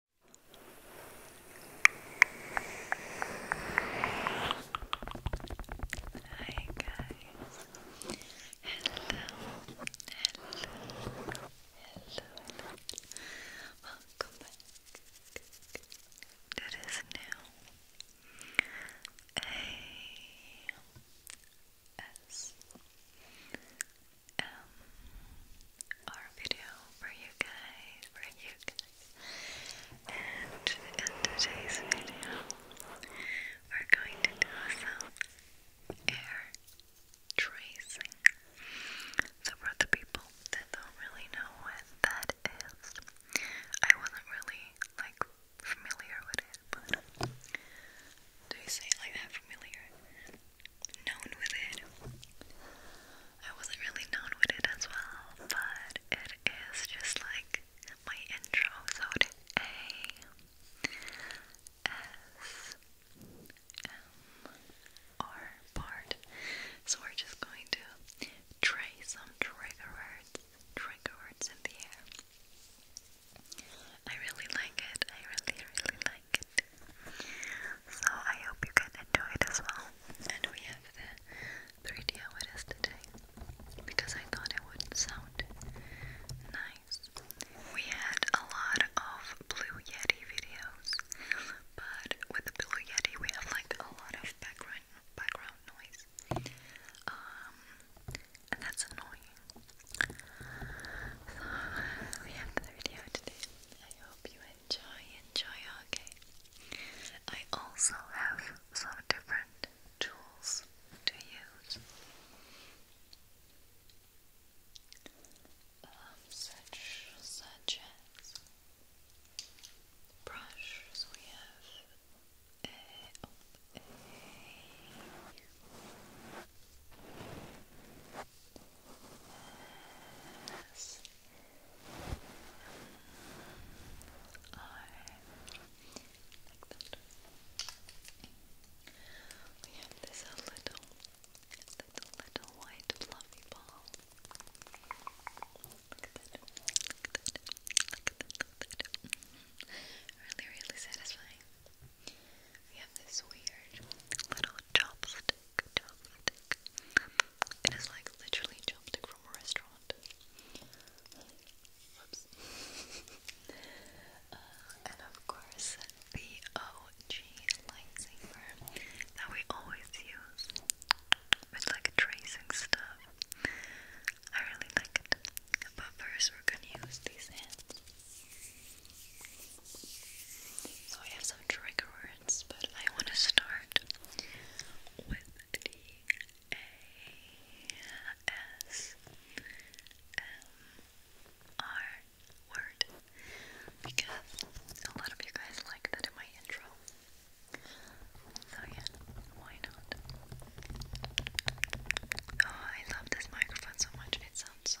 Hi guys. Hello. Hello. Hello. Welcome back to this A S um, our video for you guys, for you guys. And in today's video, we're going to do some air tracing. So for the people that don't really know what that is, I wasn't really like familiar with it, do you say it like that? Familiar? known with it. I wasn't really known with it as well, but it is just like my intro, so it A S M R part. So we're just going to trace some trigger words, trigger words in the air. I really like it. I really, really so I hope you can enjoy it as well. And we have the 3D hours today because I thought it would sound nice. We had a lot of Blue Yeti videos, but with the Blue Yeti we have like a lot of background background noise. Um, and that's annoying. So we have the video today. I hope you enjoy, enjoy, okay. I also have some different tools to use, um, such, such as brushes. we have we have this little, little, little white fluffy ball. Look at that. Look at that. Look at that. Really, really satisfying. We have this weird little chopstick chopstick. It is like literally chopstick from a restaurant. Uh, and of course, the OG lightsaber that we always use with like tracing stuff. I really like it. But first, we're gonna use these hands. So I have some trigger words, but I want to start with the A S M R word because a lot of you guys like that in my intro. So yeah, why not? Oh, I love this microphone so much. It sounds so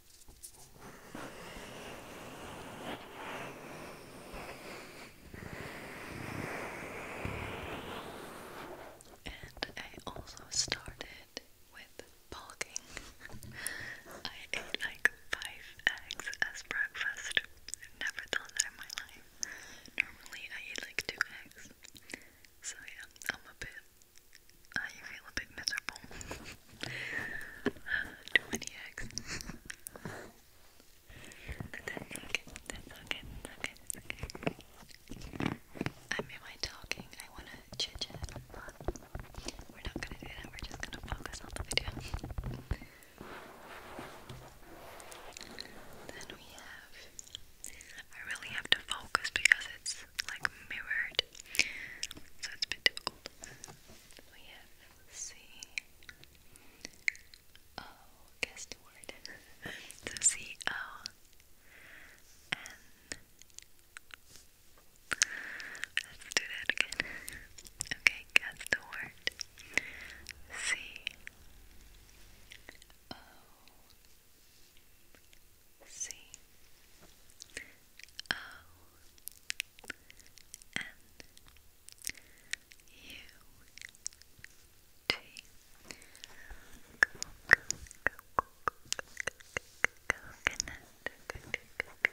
And I also started with bulking. I ate like five eggs as breakfast. never done that in my life. Normally I eat like two eggs. So yeah, I'm a bit I uh, you feel a bit miserable. 20x. that's okay, that's okay, that's talking, I want to chitchat. we're not going to do that, we're just going to focus on the video. then we have. I really have to focus because it's like mirrored, so it's a bit we have oh, C O. Guess the word. so C O N. Let's do that again. Okay, guess the word. C O C O N U T Coconut Coconut Coconut Coconut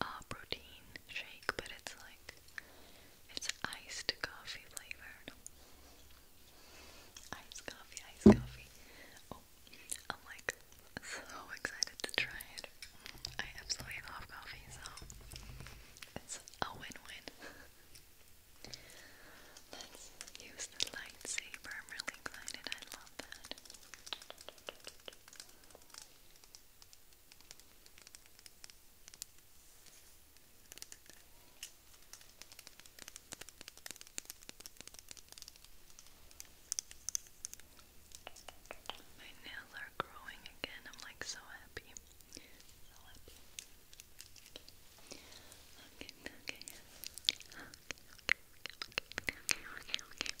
uh, protein shake, but it's like it's iced coffee flavored. Iced coffee, iced coffee. Oh, I'm like so excited to try it. I absolutely love coffee, so it's a win-win. Let's use the lightsaber. I'm really excited. I love that. My nails are growing again. I'm like so happy. So happy. Okay, okay. Okay, okay, okay, okay, okay. okay.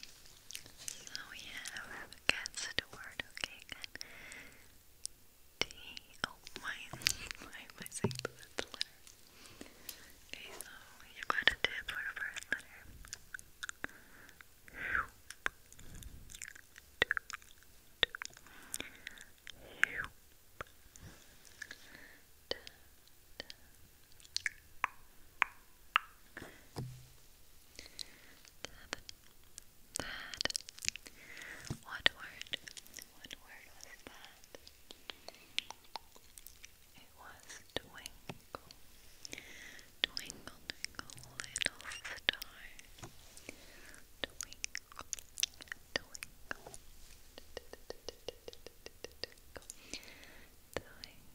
So we have gets the word, okay, good. T, oh, why, why am I saying letter? so you got a tip for the first letter. That. What word? What word was that? It was twinkle. Twinkle, little star. Twinkle, twinkle. Twinkle, twinkle,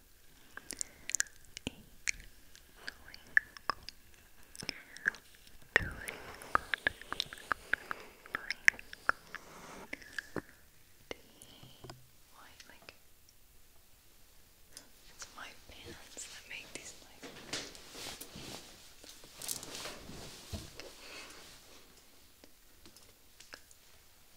why, like, it's my parents that make these like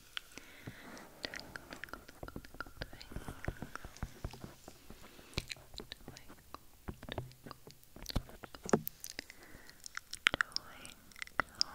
Twinkle, twinkle, twinkle, twinkle. Twinkle, twinkle, twinkle. Twinkle. Twinkle,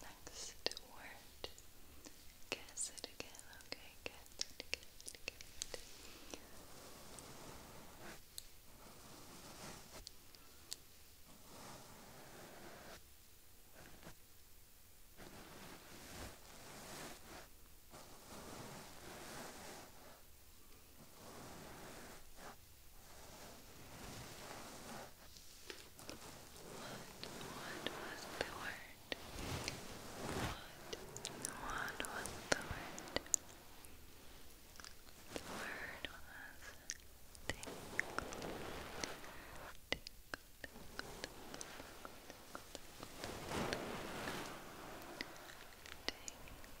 Next word. Guess it again, okay? Guess it, was the word? What? What was the word? The word was tingle. Tingle, tingle, tingle, tingle,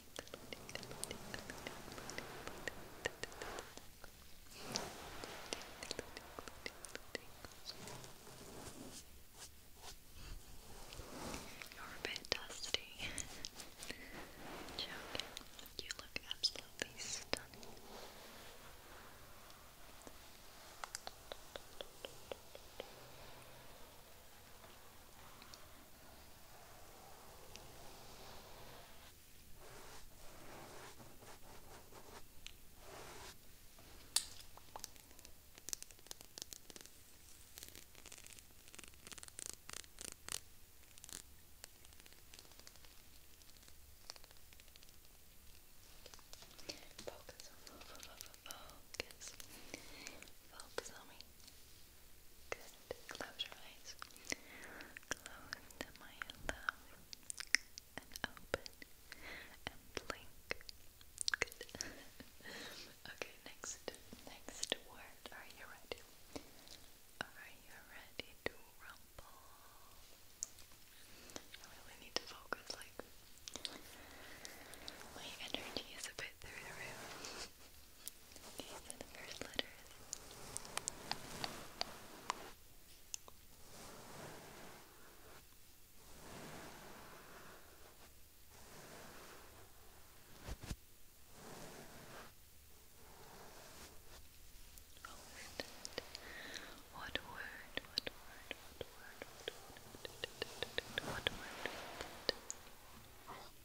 You're a bit dusty. Joking. You look absolutely stunning. Good. Focus, focus, focus, focus on me. Good. Close your eyes. Close them, my love. And open. And blink. Good. okay, next next word. Are you ready? Are you ready to rumble? I really need to focus, like my energy is a bit through the roof. Okay, so the first letter What word? What word? What word? What word? What word? What word?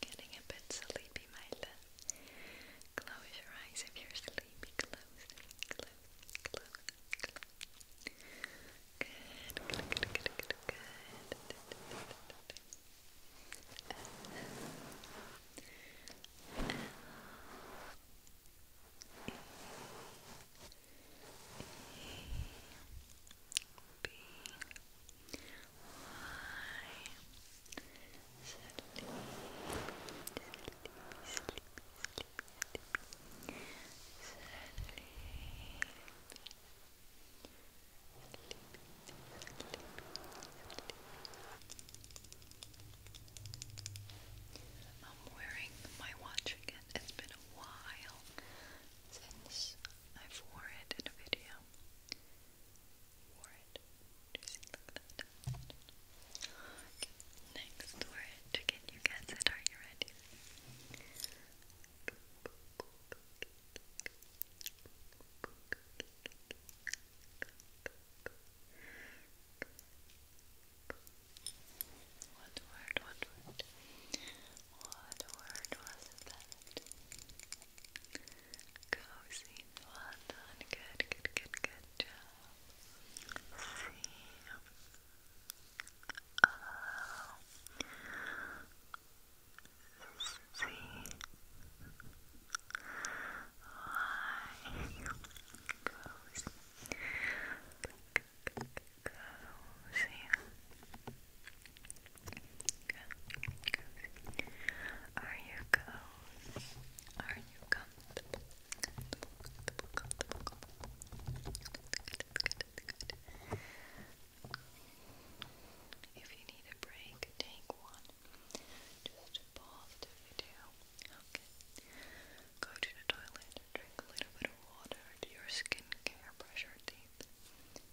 Getting a bit sleepy, my love. Close your eyes if you're sleepy. Close, close, close, close. Good, good, good, good, good, B Y sleepy, I'm wearing my watch again. It's been a while since I've worn it in a video word. Next word. Can you guess it? Are you ready? What word? What word? What word was that? Cozy. Well done. Good, good, good, good job. See. Uh, C Y Cozy. Cozy. Cozy. Are you cozy? Are you comfortable? If you need a break, take one. Just pause the video. Okay. Go to the toilet, drink a little bit of water, do your skincare, brush your teeth,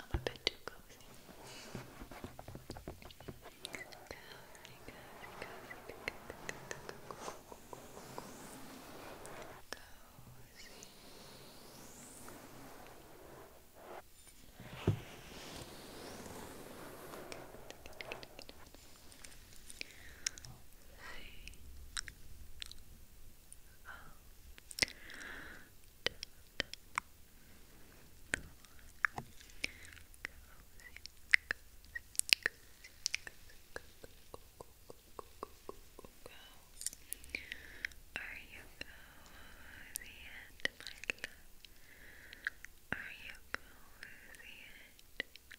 I'm a bit too cozy. Cozy, cozy, cozy, cozy, cozy. Are you cozy yet, my love? Are you cozy yet? Are you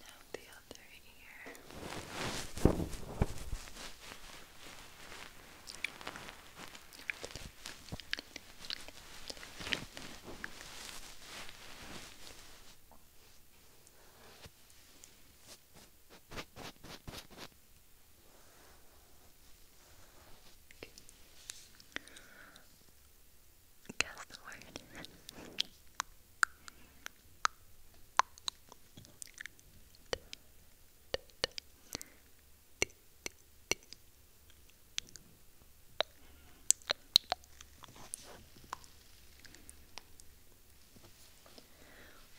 Now the other ear guess the word.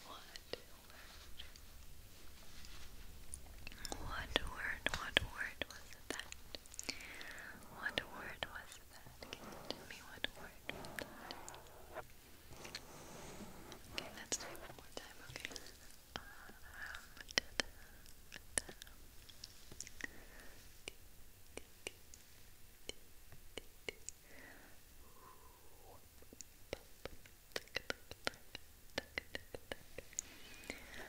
What word? What word? What word was that? word? What word was that? you tell me what word Okay, let's do it one more time, okay?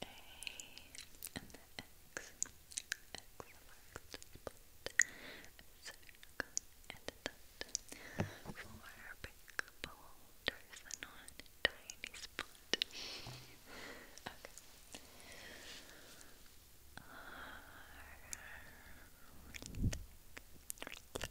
the A and the X. X marks the spot. A circle and a dot. Four big boulders and one tiny spot. Okay. R Relax, relax, relax,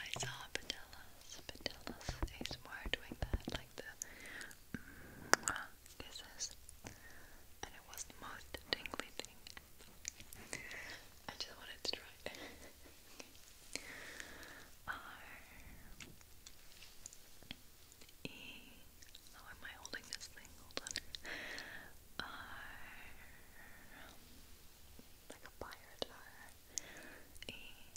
I saw Patella's, Patella's ASMR doing that, like the kisses, and it was the most tingly thing. I just wanted to try R E. How oh, am I holding this thing? Hold on. R like a pirate. R E L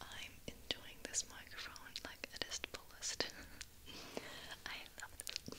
I'm enjoying this microphone like it is the I love this.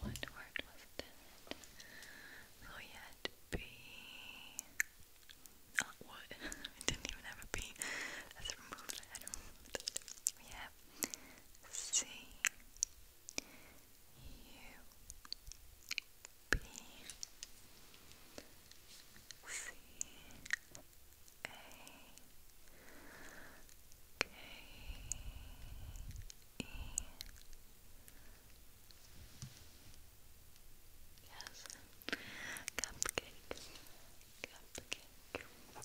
What word was that? So you had not what? I didn't even have a B. Let's remove that. We have C U B C A K E Yes, cupcake, cupcake, cup,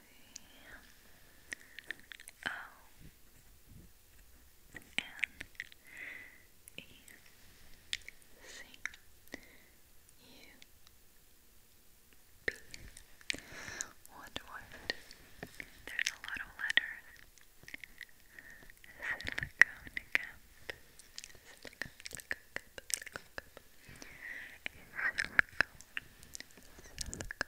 C O N E C U B. What word? There's a lot of letters. Silicone cup. Silicone, silicone cup. Silicone, silicone, silicone.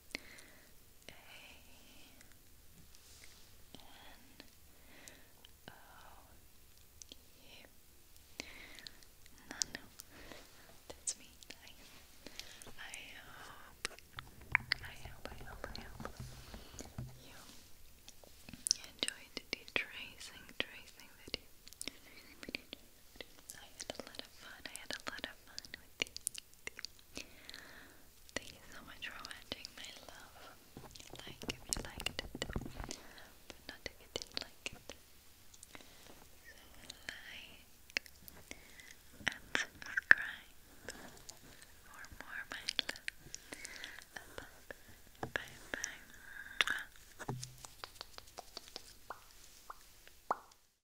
A N O U. No, that's me. I, I I hope, I hope, I hope you enjoyed the tracing, tracing video. I had a lot of fun. I had a lot of fun with you. Thank you so much for watching, my love. Like if you liked it, but not if you didn't like it. like and subscribe for more, my love. bye, -bye.